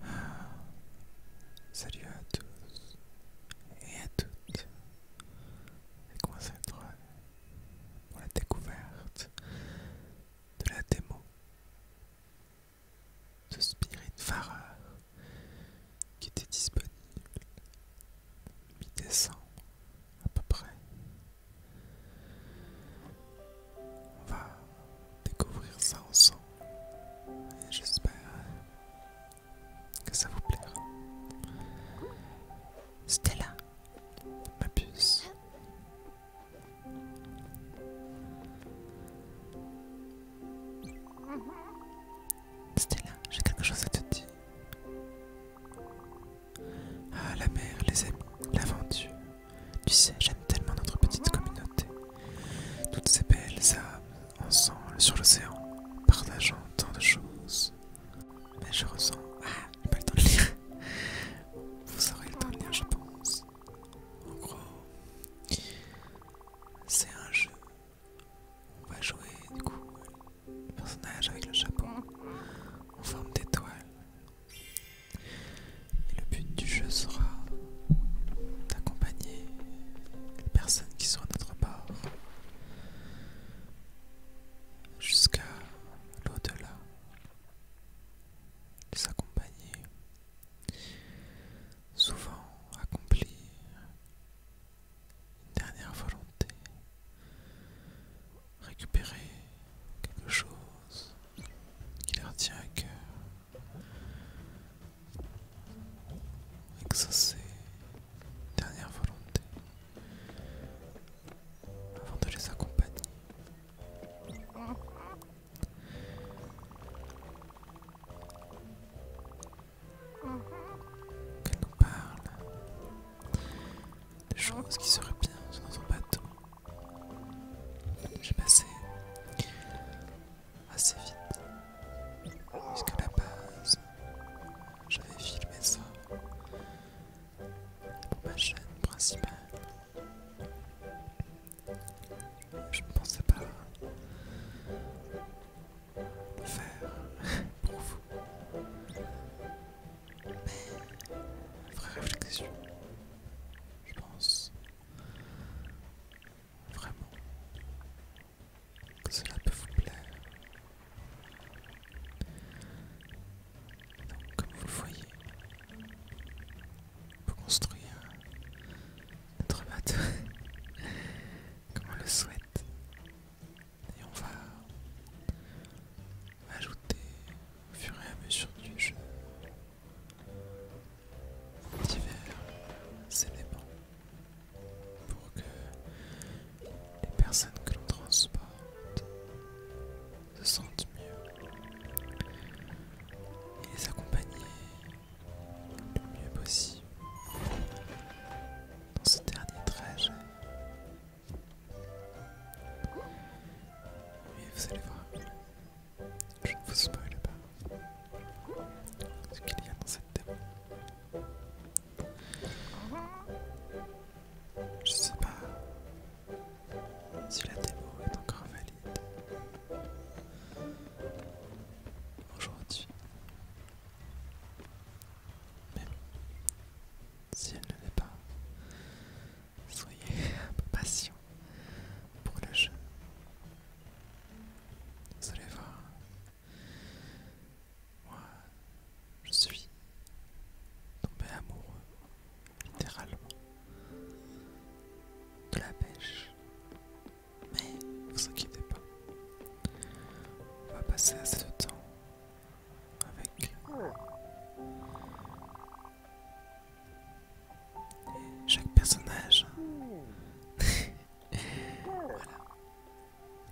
Salut à tous et à toutes, et concentre pour la découverte de la démo de Spiritfarer qui était disponible mi-décembre à peu près on va découvrir ça ensemble et j'espère que ça vous plaira. Stella, ma puce. Stella, j'ai quelque chose à te dire. Ah, la mer, les amis, l'aventure. Tu sais, j'aime tellement notre petite communauté. Toutes ces belles âmes ensemble sur l'océan, partageant tant de choses. Mais je ressens. Ah, j'ai pas le temps de lire. Vous aurez le temps de lire, je pense. En gros, c'est un jeu. On va jouer, du coup, le personnage avec le chapeau. En forme d'étoile et le but du jeu sera d'accompagner les personnes qui sont à notre bord jusqu'à l'au-delà, les accompagner, souvent accomplir une dernière volonté, récupérer quelque chose qui leur tient à cœur. dernière volonté avant de les accompagner. Qu'elle nous parle des choses qui seraient bien dans son bateau. J'ai passé assez vite, puisque la base, j'avais filmé ça pour ma chaîne principale. Je ne pensais pas le faire pour vous. Mais, vraie réflexion, je pense vraiment que cela peut vous plaire. Donc, comme vous le voyez, on peut construire notre bateau comme on le souhaite. Et on va Ajouter au fur et à mesure du jeu divers éléments pour que les personnes que l'on transporte se sentent mieux et les accompagner le mieux possible dans ce dernier trajet oui, vous allez voir, je ne vous spoil pas ce qu'il y a dans cette démo. Je ne sais pas si la démo est encore valide aujourd'hui. Mais si elle ne l'est pas, Soyez un peu patient pour le jeu. Vous allez voir. Moi, je suis tombé amoureux, littéralement, de la pêche. Mais vous inquiétez pas. On va passer assez de temps avec chaque personnage. voilà.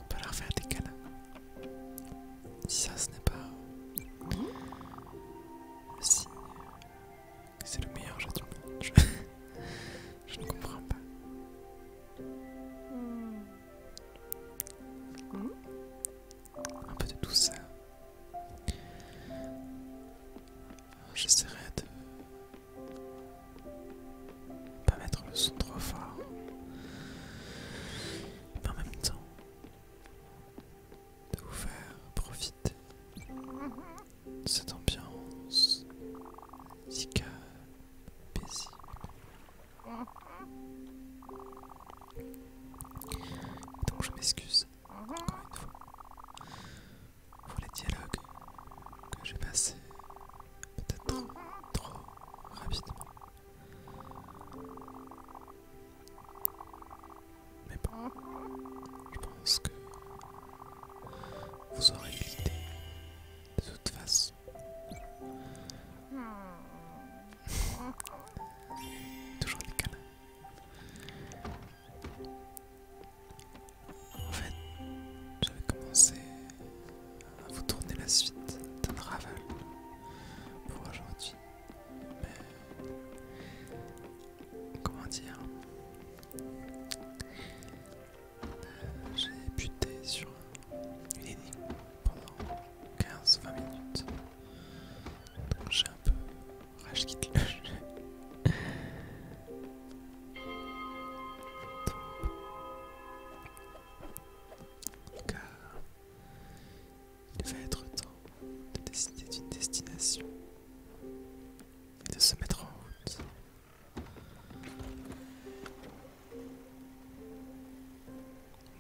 On peut leur faire des câlins. Si ça, ce n'est pas Si. c'est le meilleur jeu de monde. Je ne comprends pas. Hmm. Hmm un peu de tout ça. J'essaierai de pas mettre le son trop fort, mais en même temps de vous faire profiter de cette ambiance si paisible. Donc je m'excuse encore une fois, pour les dialogues que j'ai passés peut-être trop rapidement. Mais bon, je pense que vous aurez l'idée de toute façon. Hmm. Toujours les en fait, j'avais commencé à vous tourner la suite d'un raval pour aujourd'hui. Mais comment dire euh, J'ai buté sur une énigme pendant 15-20 minutes. Donc j'ai un peu rage quitte le jeu. cas il va être temps de décider d'une destination et de se mettre en route.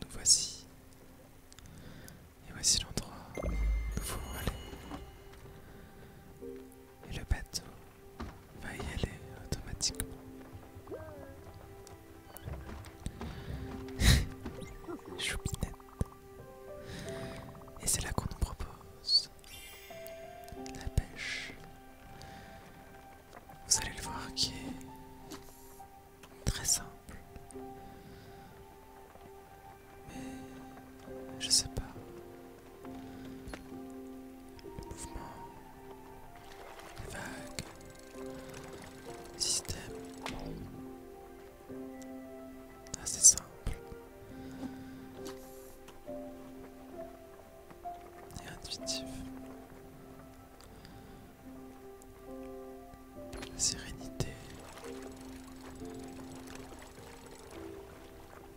Nous voici et voici l'endroit où il faut aller. Et le bateau va y aller automatiquement. Choupinette. Et c'est là qu'on nous propose la pêche. Vous allez le voir qui est Très simple. Mais je sais pas. Le mouvement, les vagues, le système. Assez simple. Et intuitif sérénité.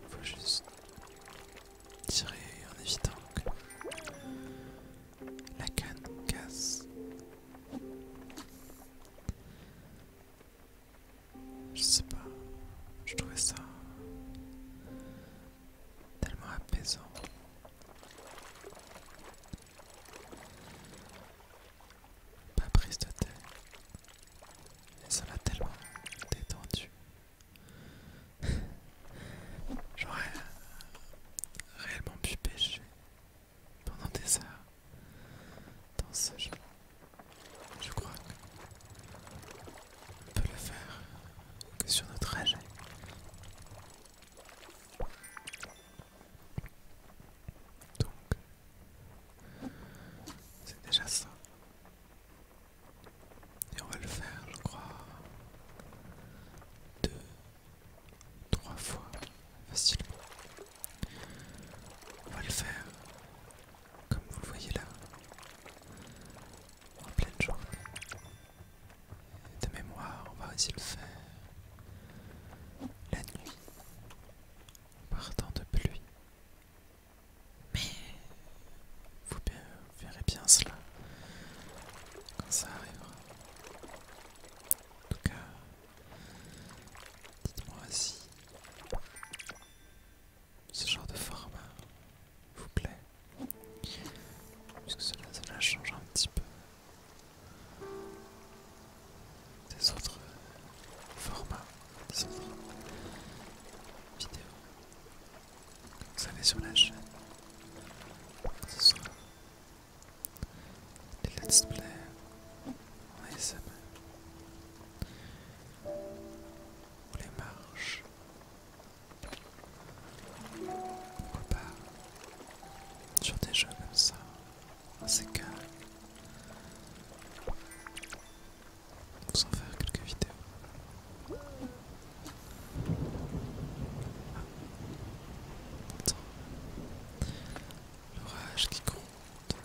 Faut juste tirer en évitant que la canne casse. Je sais pas, je trouvais ça tellement apaisant. Pas prise de tête. Et ça m'a tellement détendu. J'aurais euh, réellement pu pêcher pendant des heures dans ce jeu. Je crois qu'on peut le faire que sur notre trajet. Donc, c'est déjà ça. Et on va le faire, je crois, deux, trois fois facilement. On va le faire, comme vous le voyez là, en pleine journée. de mémoire, on va aussi le faire la nuit. Partant de pluie. Mais vous verrez bien cela quand ça arrivera. En tout cas, dites-moi si ce genre de format vous plaît. Puisque cela change un petit peu des autres formats, des autres vidéos que vous avez sur la chaîne, que ce soit les let's play en ASMR ou les marches, pourquoi pas sur des jeux comme ça c'est que vous faire quelques vidéos. Attends. L'orage qui compte.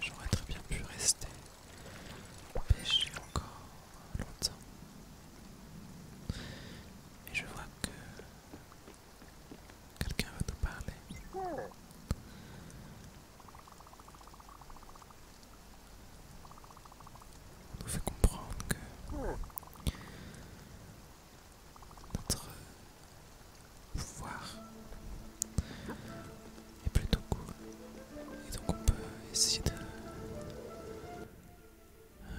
J'aurais très bien pu rester pêcher encore longtemps. Et je vois que quelqu'un va nous parler. On nous fait comprendre que notre pouvoir est plutôt cool. Et donc on peut essayer de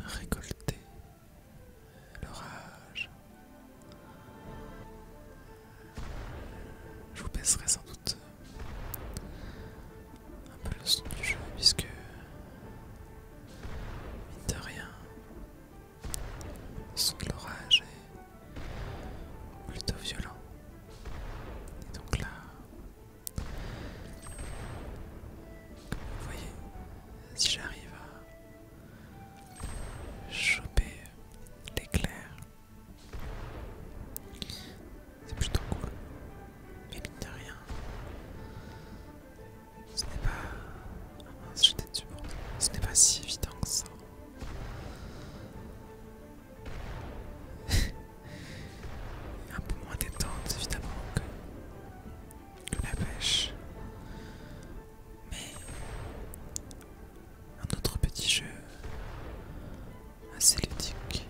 récolter l'orage. Je vous baisserai sans doute un peu le son du jeu puisque mine de rien le son de l'orage est plutôt violent. Et donc là, vous voyez, si j'arrive à choper l'éclair, c'est plutôt cool. Mais mine de rien, ce n'est pas... j'étais Ce n'est pas si évident que ça. Un peu moins détente évidemment la pêche. Mais un autre petit jeu assez ludique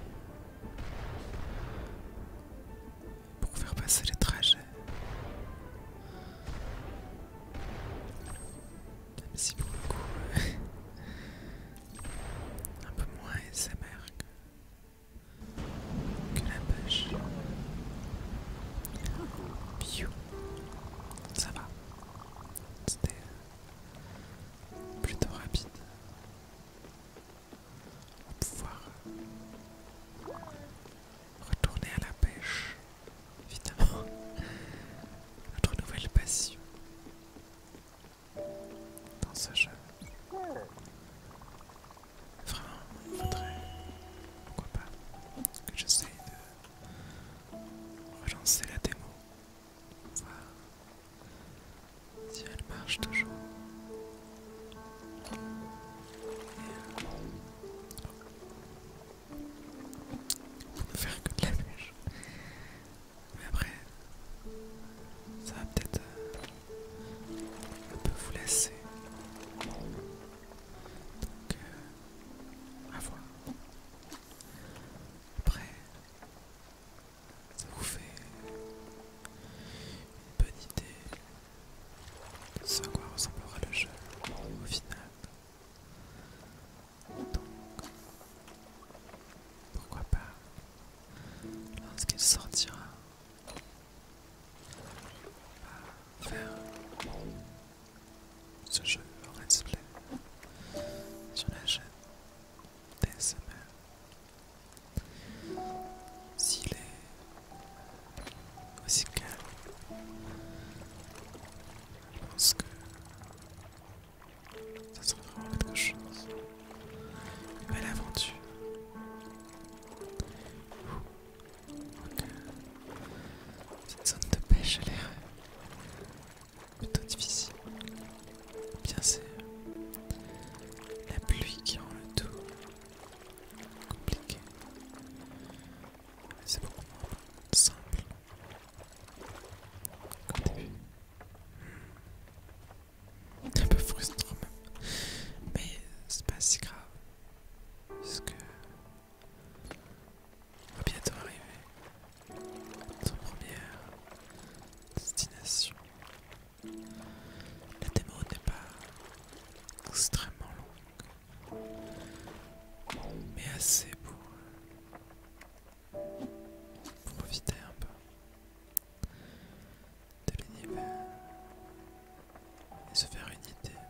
pour faire passer les trajets. Même si pour le coup, un peu moins SMR que la pêche. Piu. Ça va. C'était euh, plutôt rapide. On va pouvoir euh, retourner à la pêche. Évidemment. Notre nouvelle passion dans ce jeu. Vraiment, il faudrait, pourquoi pas, que j'essaye de relancer la démo, voir si elle marche toujours. Et, euh, ne faire que de la bûche. Mais après, ça va peut-être euh, on peut vous laisser. Donc, euh, à voir. Après, ça vous fait une bonne idée de ce à quoi ressemblera le jeu au final. Donc, pourquoi pas, lorsqu'il sortira, on va faire ce jeu en display sur la chaîne semaine. S'il est aussi calme, je pense que ça sera vraiment quelque chose. Belle aventure. Cette zone de pêche a l'air plutôt difficile. Bien c'est la pluie qui rend le tout compliqué. C'est beaucoup moins simple. Comme début. Hmm un peu frustrant même. Mais c'est pas si grave. Parce que on va bientôt arriver à notre première destination. La démo n'est pas extrêmement longue, mais assez pour profiter un peu de l'univers et se faire une idée.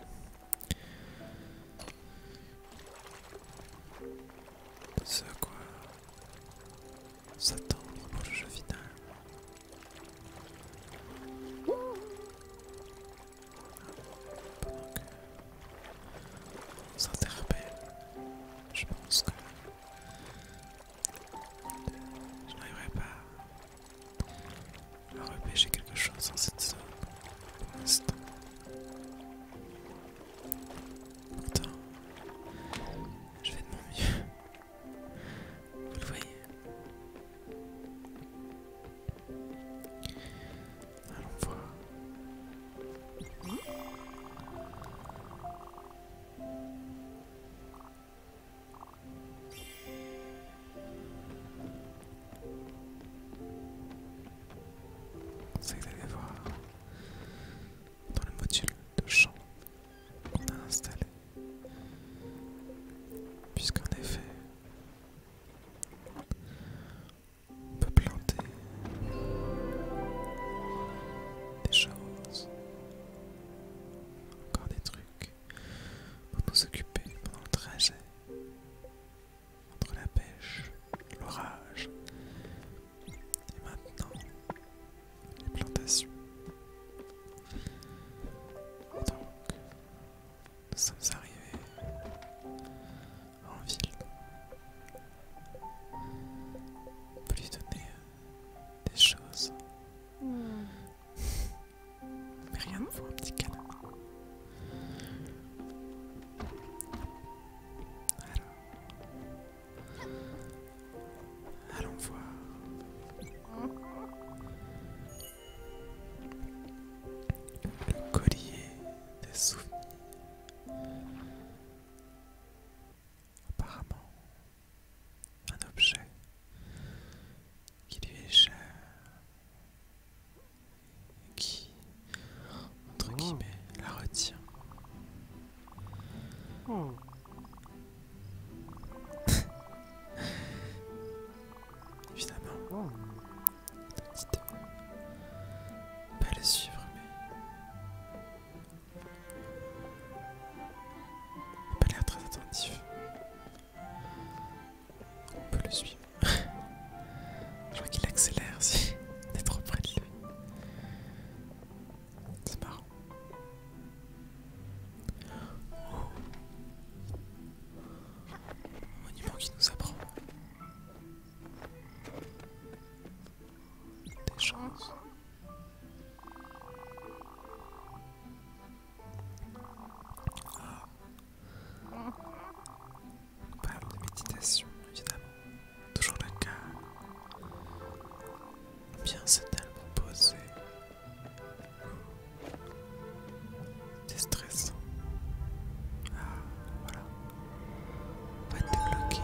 De ce à quoi s'attendre pour le jeu final. Pendant que on s'interpelle, je pense que je n'arriverai pas à repêcher quelque chose dans cette zone pour l'instant. Pourtant, je vais de mon mieux. Vous le voyez. Allons voir. C'est que vous allez voir dans le module de champ qu'on a installé. Puisqu'en effet, on peut planter des choses, encore des trucs pour nous occuper pendant le trajet. Entre la pêche, l'orage, et maintenant les plantations. Et donc, nous sommes arrivés en ville. pour lui donner euh, des choses. Hmm. Mais rien ne vaut un petit canard Alors. Allons voir. Le collier des souvenirs. Apparemment, un objet qui lui est cher, qui, entre oh. guillemets, la retient. Oh. Évidemment, oh. pas le suivre, mais pas l'air très attentif. On peut le suivre. Je crois qu'il accélère si on trop près de lui. C'est marrant. Oh. Monument qui nous apprend. Des choses. Ah. Parle de méditation, évidemment. Toujours la calme. Bien tellement posé. C'est stressant. Ah, voilà. Pas va te débloquer.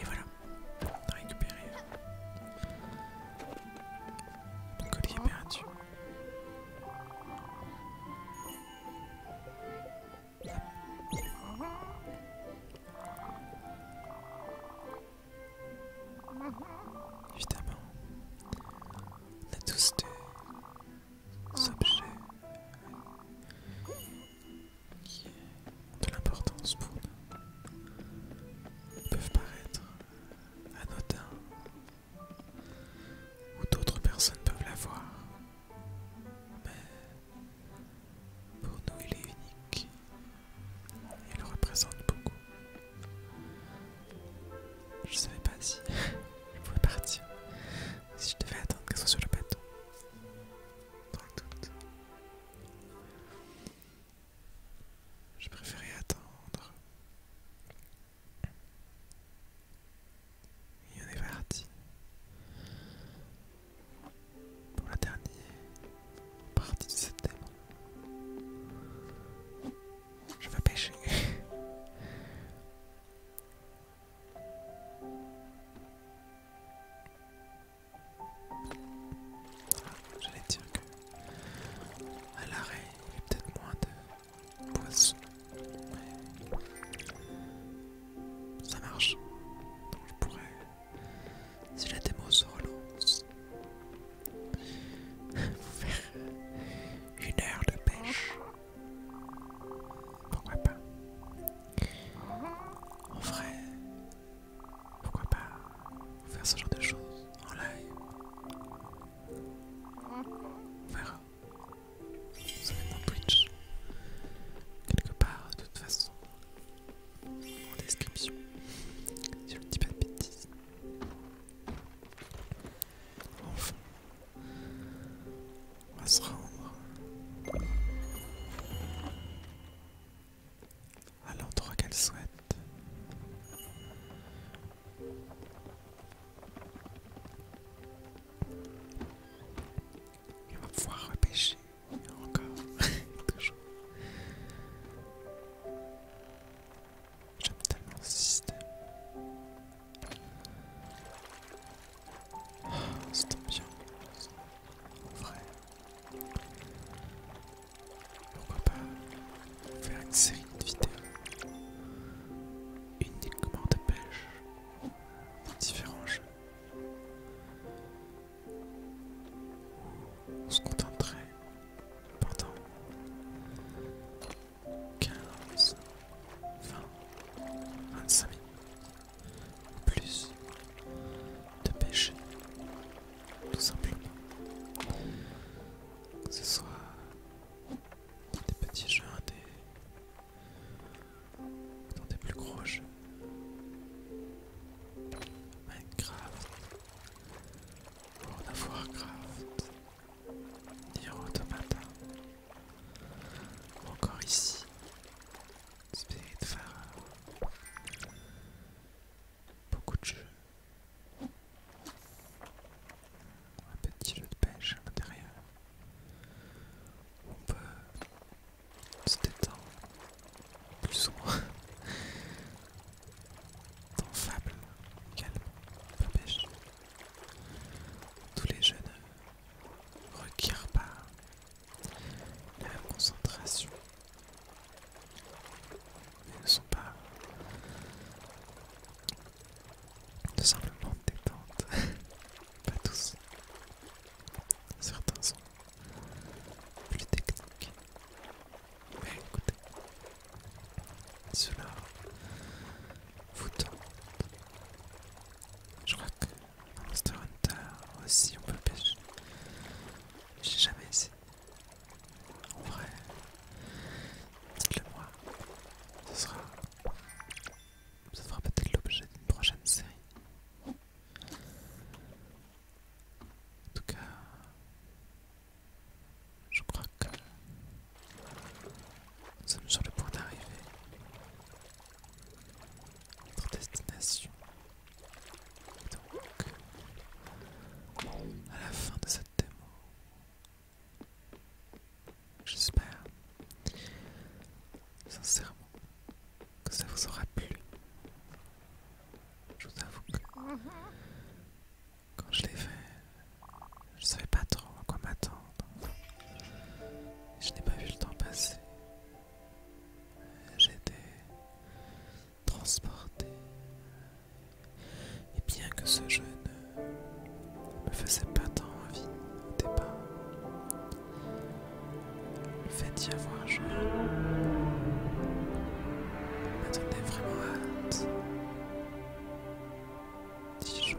Et voilà, on a récupéré hein. collier perdu. Évidemment, on a tous des objets qui est de l'importance pour nous peuvent paraître anodins ou d'autres personnes peuvent la voir, mais pour nous il est unique et le représente beaucoup. Je savais pas si je pouvais partir, si je devais attendre qu'elle soit sur le bateau. Dans j'ai préféré attendre. y on est parti pour la dernière partie de cette Je vais pêcher. J'allais dire que à l'arrêt, il y a peut-être moins de poissons. Mais ça marche. Donc je pourrais. Si la démo se relance, faire euh, une heure de pêche. Pourquoi pas En vrai, pourquoi pas faire ce genre de choses en live On verra. Vous avez mon Twitch quelque part de toute façon en description si je ne dis pas de bêtises. Enfin, on va se rendre à l'endroit qu'elle souhaite. Il va pouvoir repêcher encore, toujours. J'aime tellement ce système. Oh, c'est bien. En vrai. Pourquoi pas faire une série de vidéos uniquement de pêche dans différents jeux. On se contenterait pendant 15, 20, 25 minutes plus de pêche, tout simplement. Que ce soit des petits jeux, des... dans des plus gros jeux. Minecraft, World of Warcraft, Nier Automata, encore ici, Spirit Pharaon. Beaucoup de jeux. Un petit jeu de pêche à l'intérieur. On peut se détendre plus ou moins. Dans Fable, calme, pêche. Tous les jeux ne requièrent pas la concentration, Ils ne sont pas tout simplement détente, pas tous. Certains sont plus techniques, mais écoutez, cela vous tente. Je crois que Monster Hunter aussi on peut pêcher. J'ai jamais essayé. En vrai, dites-le moi. Ce sera, ce sera peut-être l'objet d'une prochaine série. En tout cas, je crois que nous sommes sur le point d'arriver. Notre destination donc, à la fin de cette démo, j'espère sincèrement que ça vous aura plu. Je vous avoue que quand je l'ai fait, je savais pas trop à quoi m'attendre. Je n'ai pas vu le temps passer. J'étais transporté. Et bien que ce jeu ne me faisait pas tant envie au départ, le fait d'y avoir joué m'a donné vraiment hâte d'y jouer.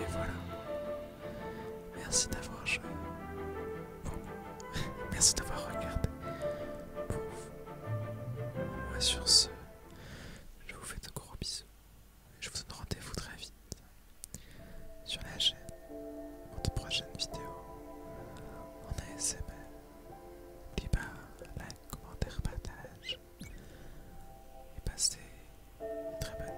Et voilà. Merci d'avoir joué. Pour Merci d'avoir regardé. Pour vous. Moi sur ce, je vous fais de gros bisous. Je vous donne rendez-vous très vite sur la chaîne pour de prochaines vidéos en ASMR. like, commentaire, partage message. Et bah, très bien.